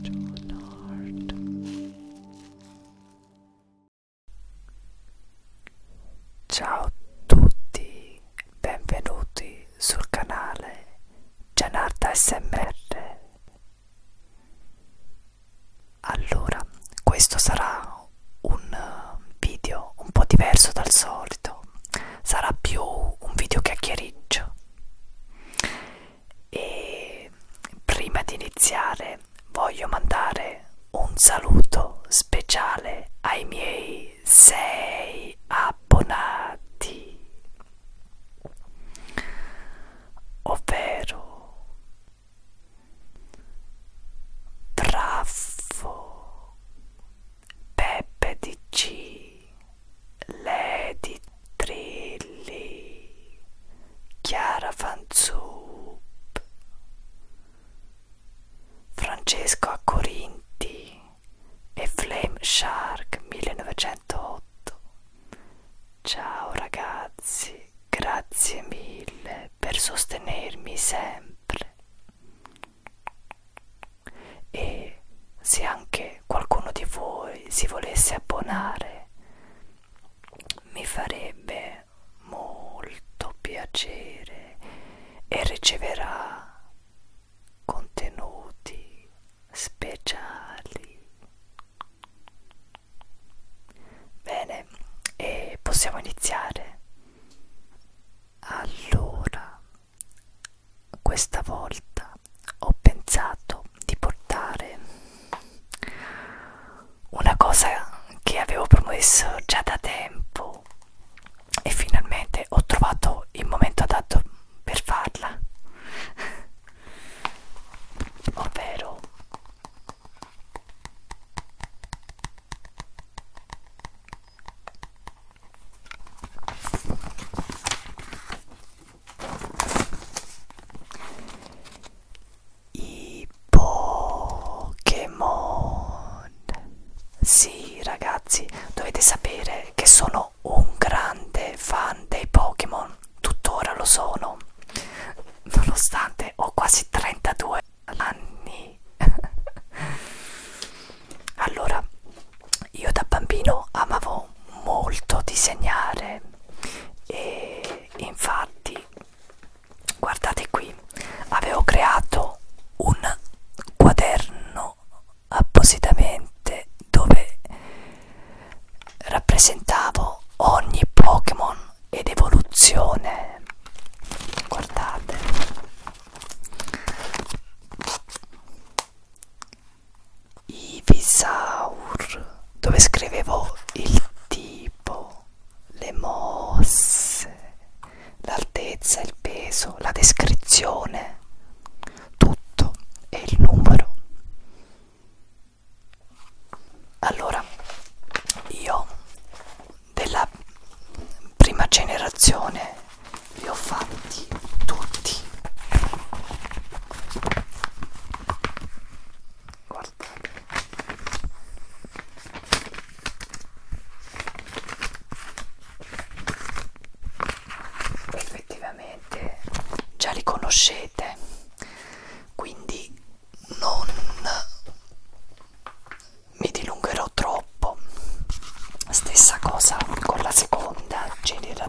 John Hart Ciao a tutti, benvenuti sul canale Gianarda SMR Allora, questo sarà un um, video un po' diverso dal solito sarà più un video chiacchiericcio e prima di iniziare voglio mandare un saluto speciale ai miei sei abbonati ovvero Bravo Peppe di C Lady Trilli, Chiara Fanzup, Francesco a Corinti e Flame Shark 1908. Ciao ragazzi, grazie mille per sostenermi sempre e se anche qualcuno di voi si volesse abbonare mi farebbe molto piacere e riceverà contenuti speciali bene e possiamo iniziare allora questa volta ho pensato di portare una cosa che avevo promesso già da tempo e finalmente ho trovato il momento adatto per farla ovvero i Pokémon. Sì, ragazzi, dovete sapere che sono un grande fan dei Pokémon. Tuttora lo sono, nonostante ho quasi 32 anni. Allora, io da bambino amavo molto disegnare e infatti, guardate qui, avevo creato un quaderno appositamente dove rappresentavo ogni Pokémon ed evoluzione. Guardate. Ibisaur dove scrivevo il tipo, le mosse, l'altezza, il peso, la descrizione, tutto e il numero. Allora, io della prima generazione li ho fatti tutti guardate effettivamente già li conoscete quindi non mi dilungherò troppo stessa cosa con la seconda ce n'era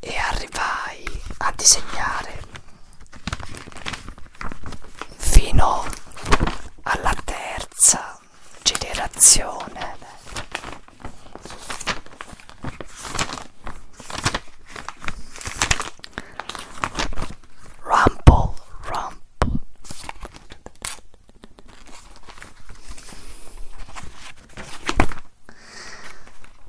e arrivai a disegnare fino alla terza generazione Rumble, rumble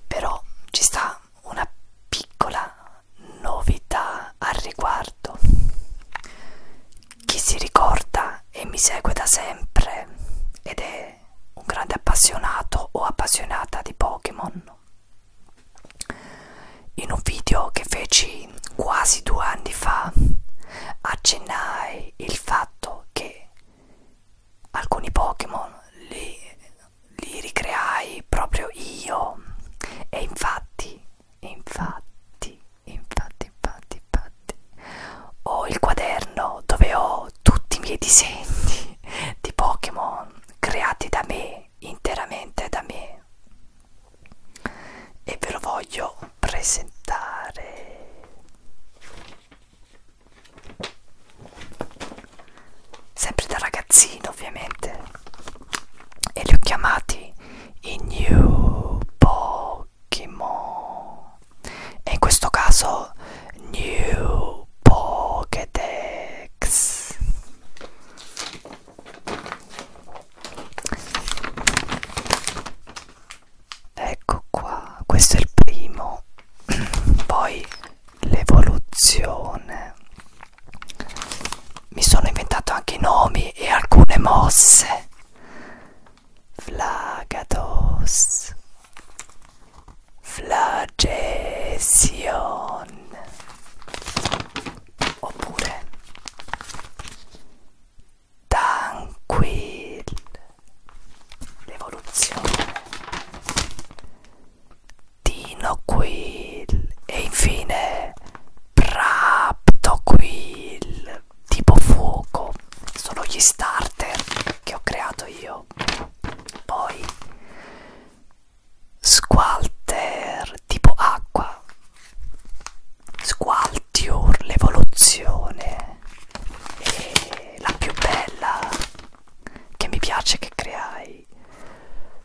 però ci sta una piccola novità al riguardo. Chi si ricorda e mi segue da sempre ed è un grande appassionato o appassionata di Pokémon. In un video che feci quasi due anni fa accennai il fatto che alcuni Pokémon li, li ricreai proprio io e infatti, infatti, infatti, infatti, infatti ho il quaderno dove ho tutti i miei disegni di Pokémon creati da me, interamente da me e ve lo voglio presentare sempre da ragazzino ovviamente e li ho chiamati i new Pokémon e in questo caso new Pokédex ecco qua questo è il primo poi l'evoluzione mi sono inventato anche i nomi e alcune mosse flagados flagesion oppure tranquilli l'evoluzione Dinoquill e infine Praptoquill tipo fuoco sono gli starter che ho creato io poi Squalter tipo acqua, squaltior, l'evoluzione, la più bella che mi piace che creai,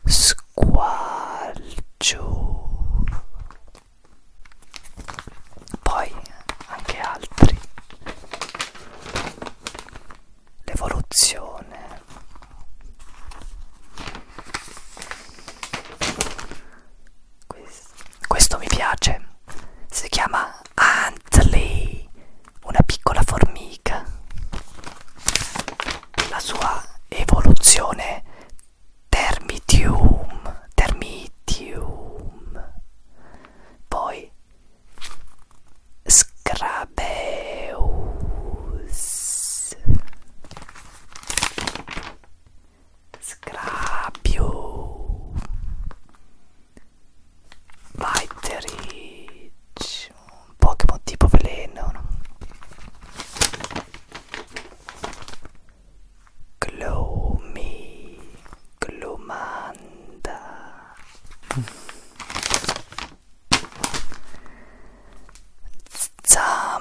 squalcio, poi anche altri, l'evoluzione. Questo mi piace. Si chiama Antley, una piccola formica. La sua evoluzione Termitium, Termitium. Poi Scrabeus. Scrapio Viterich Un Pokémon tipo veleno Gloomy Glomanda Zampliud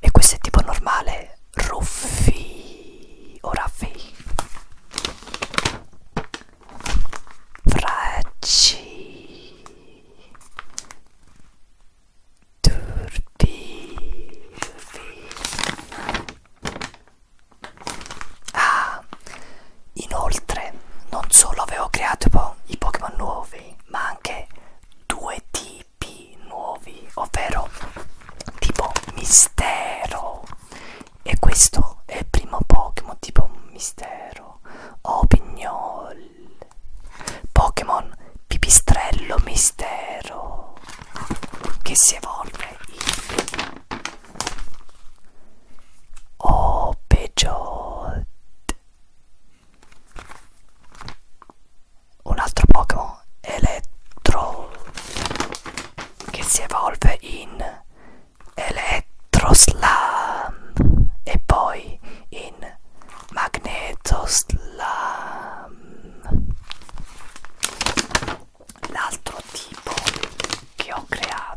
e questo è tipo normale Ruffi o Raffi Fracci Turbi Ah, inoltre non solo avevo creato i Pokémon nuovi ma anche due tipi nuovi, ovvero tipo mistero. E questo è il primo Pokémon tipo mistero. Opignol. Pokémon pipistrello mistero. Che si evolve in Opegiot un altro Pokémon Elettro che si evolve in Elettroslam e poi in Magnetoslam. L'altro tipo che ho creato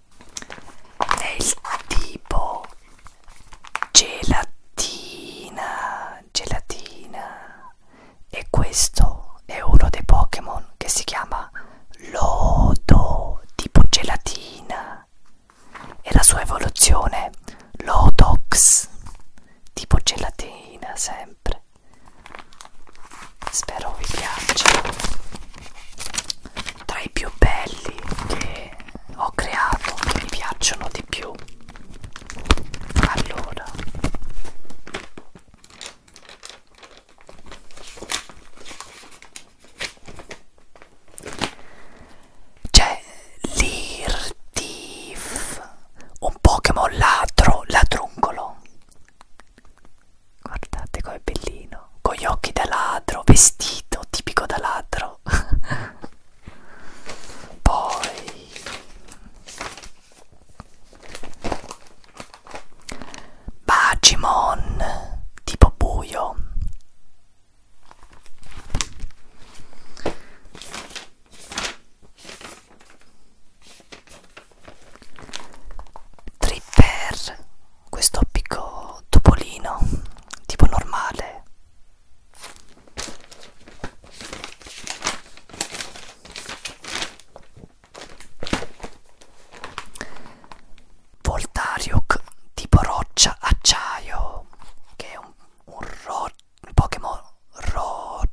è il tipo gelatina gelatina e questo è uno dei Pokémon che si chiama Lodo tipo gelatina e la sua evoluzione Lodox tipo gelatina sempre spero vi piaccia tra i più belli che ho creato che mi piacciono di più allora c'è l'Irtif un Pokémon ladro ladruncolo guardate com'è bellino con gli occhi da ladro vestito tipico da ladro poi Bagimon tipo buio Tripper questo appico topolino tipo normale Voltariok tipo roccia acciaio che è un, un, ro un Pokémon roccialato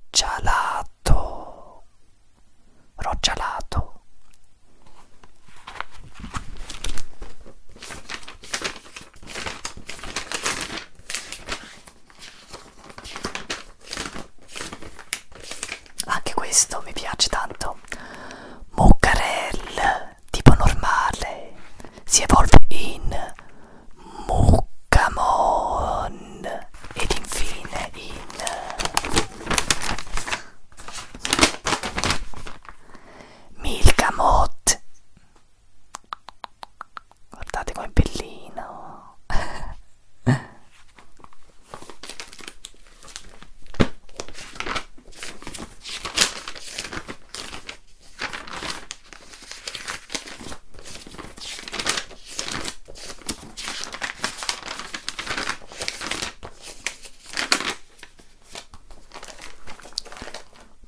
roccialato anche questo mi piace tanto. Muccarel, tipo normale, si evolve in Muccamon ed infine in Milka Mott guardate com'è bellino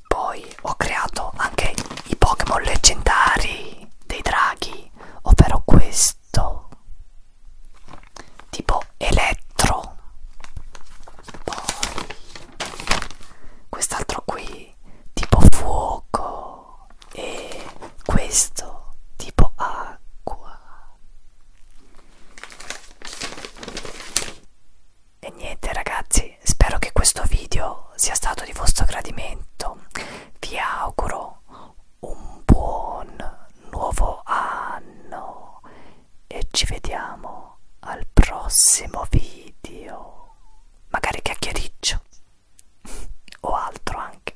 poi ho creato anche i Pokémon leggendari dei draghi, ovvero questo tipo elettro. Poi quest'altro qui tipo fuoco e questo tipo acqua e niente ragazzi, spero che questo video sia stato di vostro gradimento. Vi auguro un buon nuovo anno e ci vediamo al prossimo video. Magari chiacchiericcio o altro anche.